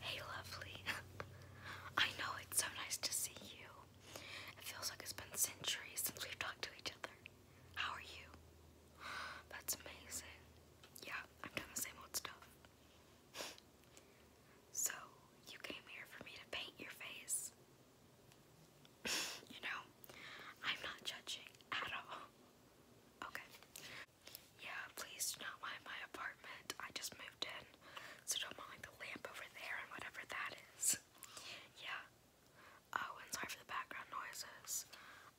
Hey, lovely. I know it's so nice to see you. It feels like it's been centuries since we've talked to each other. How are you? That's amazing. Yeah, I'm doing the same old stuff. So, you came here for me to paint your face. you know, I'm not judging at all. Okay, yeah, please do not mind my apartment. I just moved in, so don't mind the lamp over there and whatever that is. Yeah. Oh, and sorry for the background noises.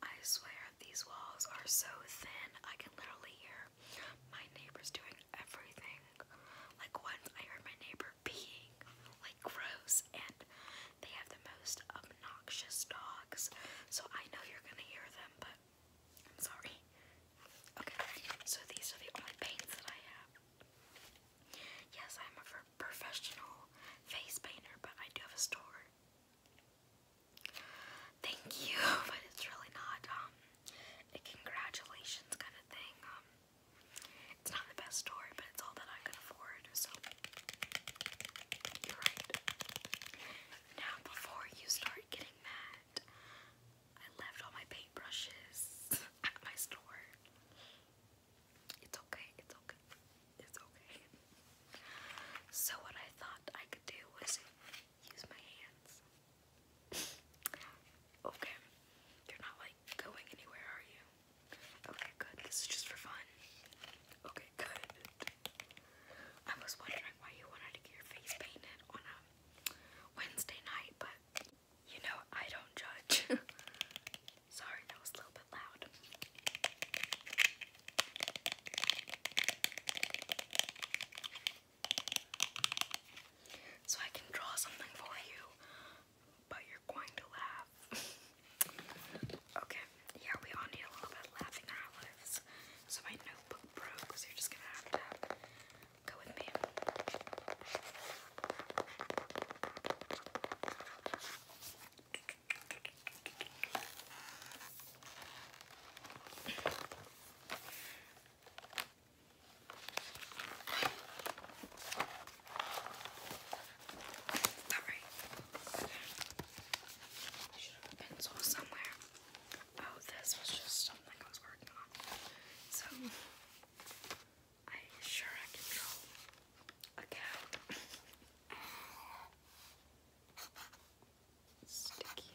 I swear these walls are so thin, I can literally hear my neighbors doing everything. Like once I heard my neighbor peeing, like gross, and they have the most obnoxious dogs, so I know you're gonna hear them, but I'm sorry. Okay, so these are the only paints that I have. Yes, I'm a professional face painter, but I do have a store. Thank you, but it's really not um, a congratulations kind of thing. Um, it's not the best store, but it's all that I can afford, you're right. Now, before you start getting mad, I left all my paintbrushes at my store. It's okay, it's okay, it's okay. So, what I thought I could do was use my hands. okay, you're not like going anywhere, are you? Okay, good. This is just for fun. Okay, good. I was wondering why you wanted to get your face painted on a Wednesday night, but you know I don't judge. Sorry, that was a little bit loud. So I can draw something for you, but you're going to laugh laugh. okay, yeah, we all need a little bit of laughing in our lives. So my notebook broke, so you're just gonna have to go with me. Alright. I pencil somewhere. Oh, this was just something I was working on. So, I sure I can draw a sticky.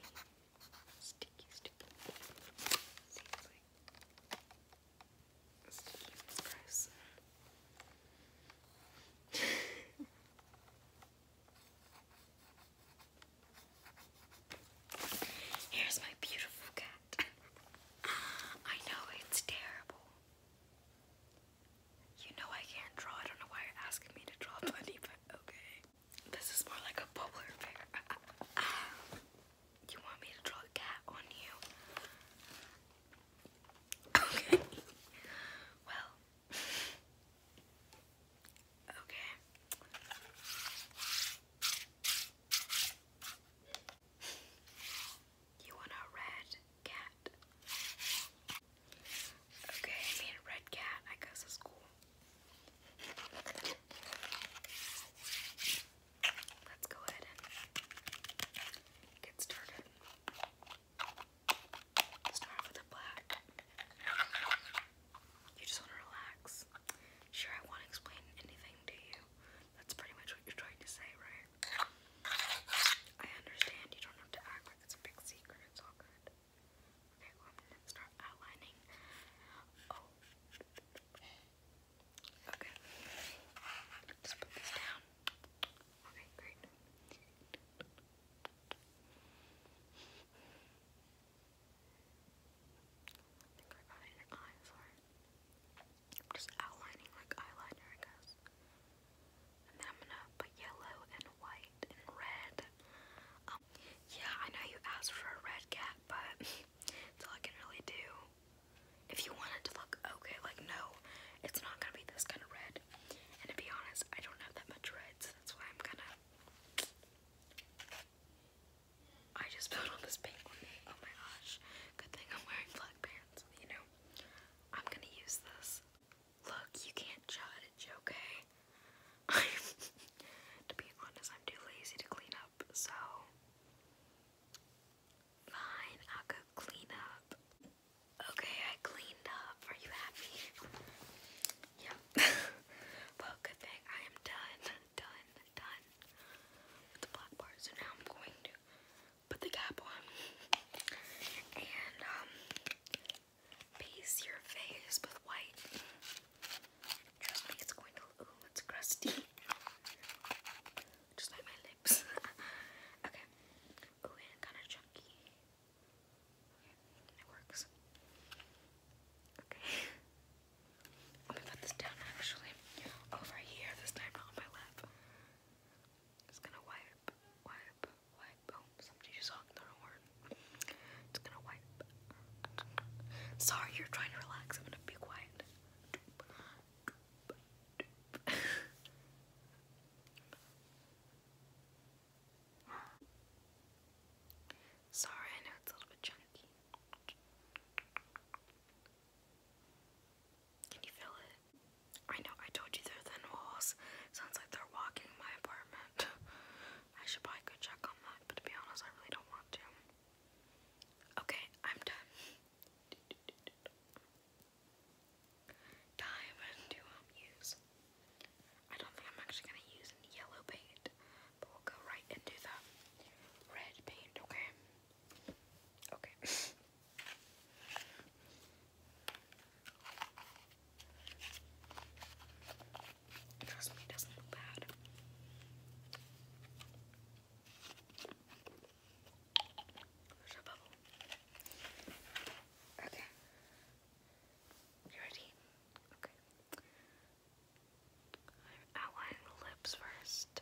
Sticky, sticky. Seems like. Let's keep this Here's my beautiful cat. I know it's terrible. You know I can't draw. I don't know why you're asking me to draw bunny, but okay. This is more like a bubbler bear. you want me to draw a cat on you? Okay. well. Okay. You want a red cat? Okay, I mean red cat, I guess is cool let's go ahead and get started. Start with a black. You just want to relax. Sure, I won't explain anything to you. That's pretty much what you're trying to say, right? I understand you don't have to act like it's a big secret. It's all good. Okay, well, I'm gonna start outlining. Oh. Okay. Just put this down. Okay, great. I am just outlining like eyeliner, I guess. And then I'm gonna put yellow and white and red. Um, yeah, I know you asked for a red cat, but it's all I can really do. If you want to look okay, like no, it's not gonna be this kind of red. And to be honest, I don't have that much red, so that's why I'm gonna. I just put on this pink one. Oh my gosh. Good thing I'm wearing black pants, you know? I'm gonna use this. Look, you can't judge, okay? to be honest, I'm too lazy to clean so fine, I'll clean up. Okay, I cleaned up. Are you happy? Yep. well, good thing I am done, done, done the black So now I'm going to put the cap on and um, base your face with white. Trust me, it's going to. Ooh, it's crusty. Just like my lips. okay. Ooh, and kind of chunky. Okay, it works. Okay. Let me put this down actually. Over here, this time not on my lap. Just gonna wipe, wipe, wipe. Oh, somebody just hogged the wrong Sorry, you're trying to relax. I'm gonna be quiet. Sorry, I know it's a little bit chunky. Can you feel it? I know I told you they're thin walls. Sounds like they're walking my apartment. I should probably go check on that, but to be honest, I really don't want to. Okay, I'm done. Time to um, use. I don't think I'm actually gonna use yellow paint, but we'll go right into the red paint, okay? Okay. Trust me, it doesn't look bad. Okay. You ready? Okay. I'm outlining the lips first.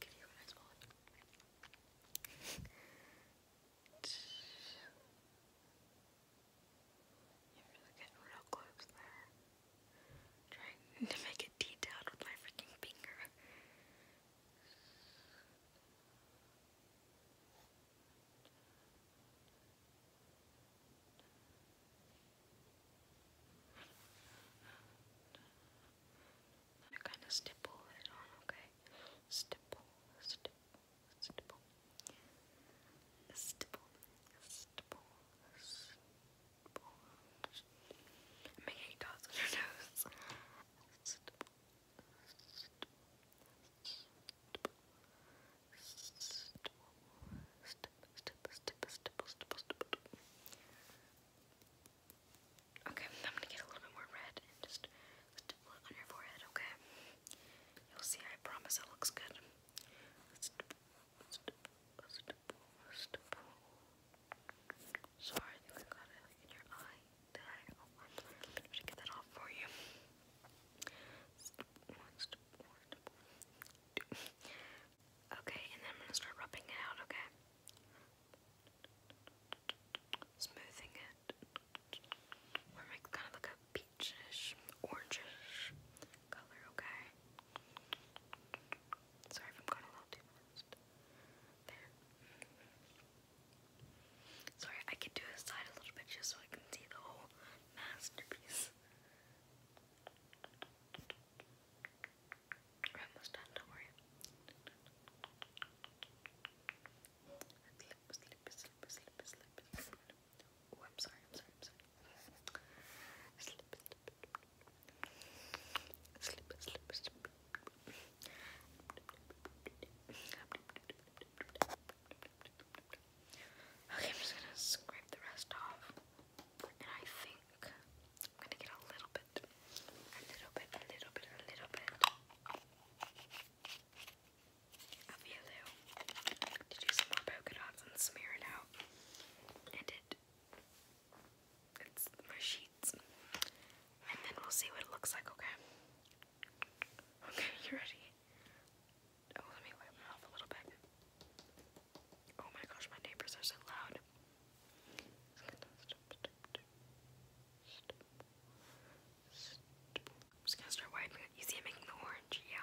Give you really close there. Trying to make it detailed with my freaking finger kind of stipple it on, okay? Stipple, stipple, stipple, stipple, stipple, stipple, Okay, I'm gonna get a little bit more red and just on your forehead, okay? You'll see, I promise it looks good post, Sorry, I got it in your eye. There. Oh, I'm going get that off for you. Okay, and I'm gonna start rubbing it out, okay? Smoothing it. Or make kind of like a peachish, orangish color, okay? Sorry I'm going a little too fast. There. Sorry, I could do a side a little bit just so I can see the whole masterpiece. almost done, don't worry. Oh, I'm sorry, I'm sorry, Okay, I'm just gonna scrape the rest off. And I think I'm gonna get a little bit, a little bit, a little bit, a little bit of yellow to do some more polka dots and smear it out and it it's for sheets. And then we'll see what it looks like, okay? Okay, you ready? Oh, let me wipe my mouth a little bit. Oh my gosh, my neighbors are so loud. I'm just gonna start wiping You see it making the orange? Yeah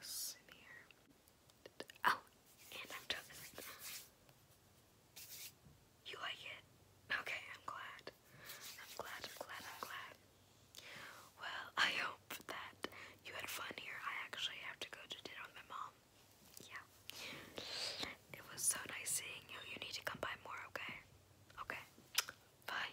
smear. Oh, and I'm talking You like it? Okay, I'm glad. I'm glad, I'm glad, I'm glad. Well, I hope that you had fun here. I actually have to go to dinner with my mom. Yeah. It was so nice seeing you. You need to come by more, okay? Okay. Bye.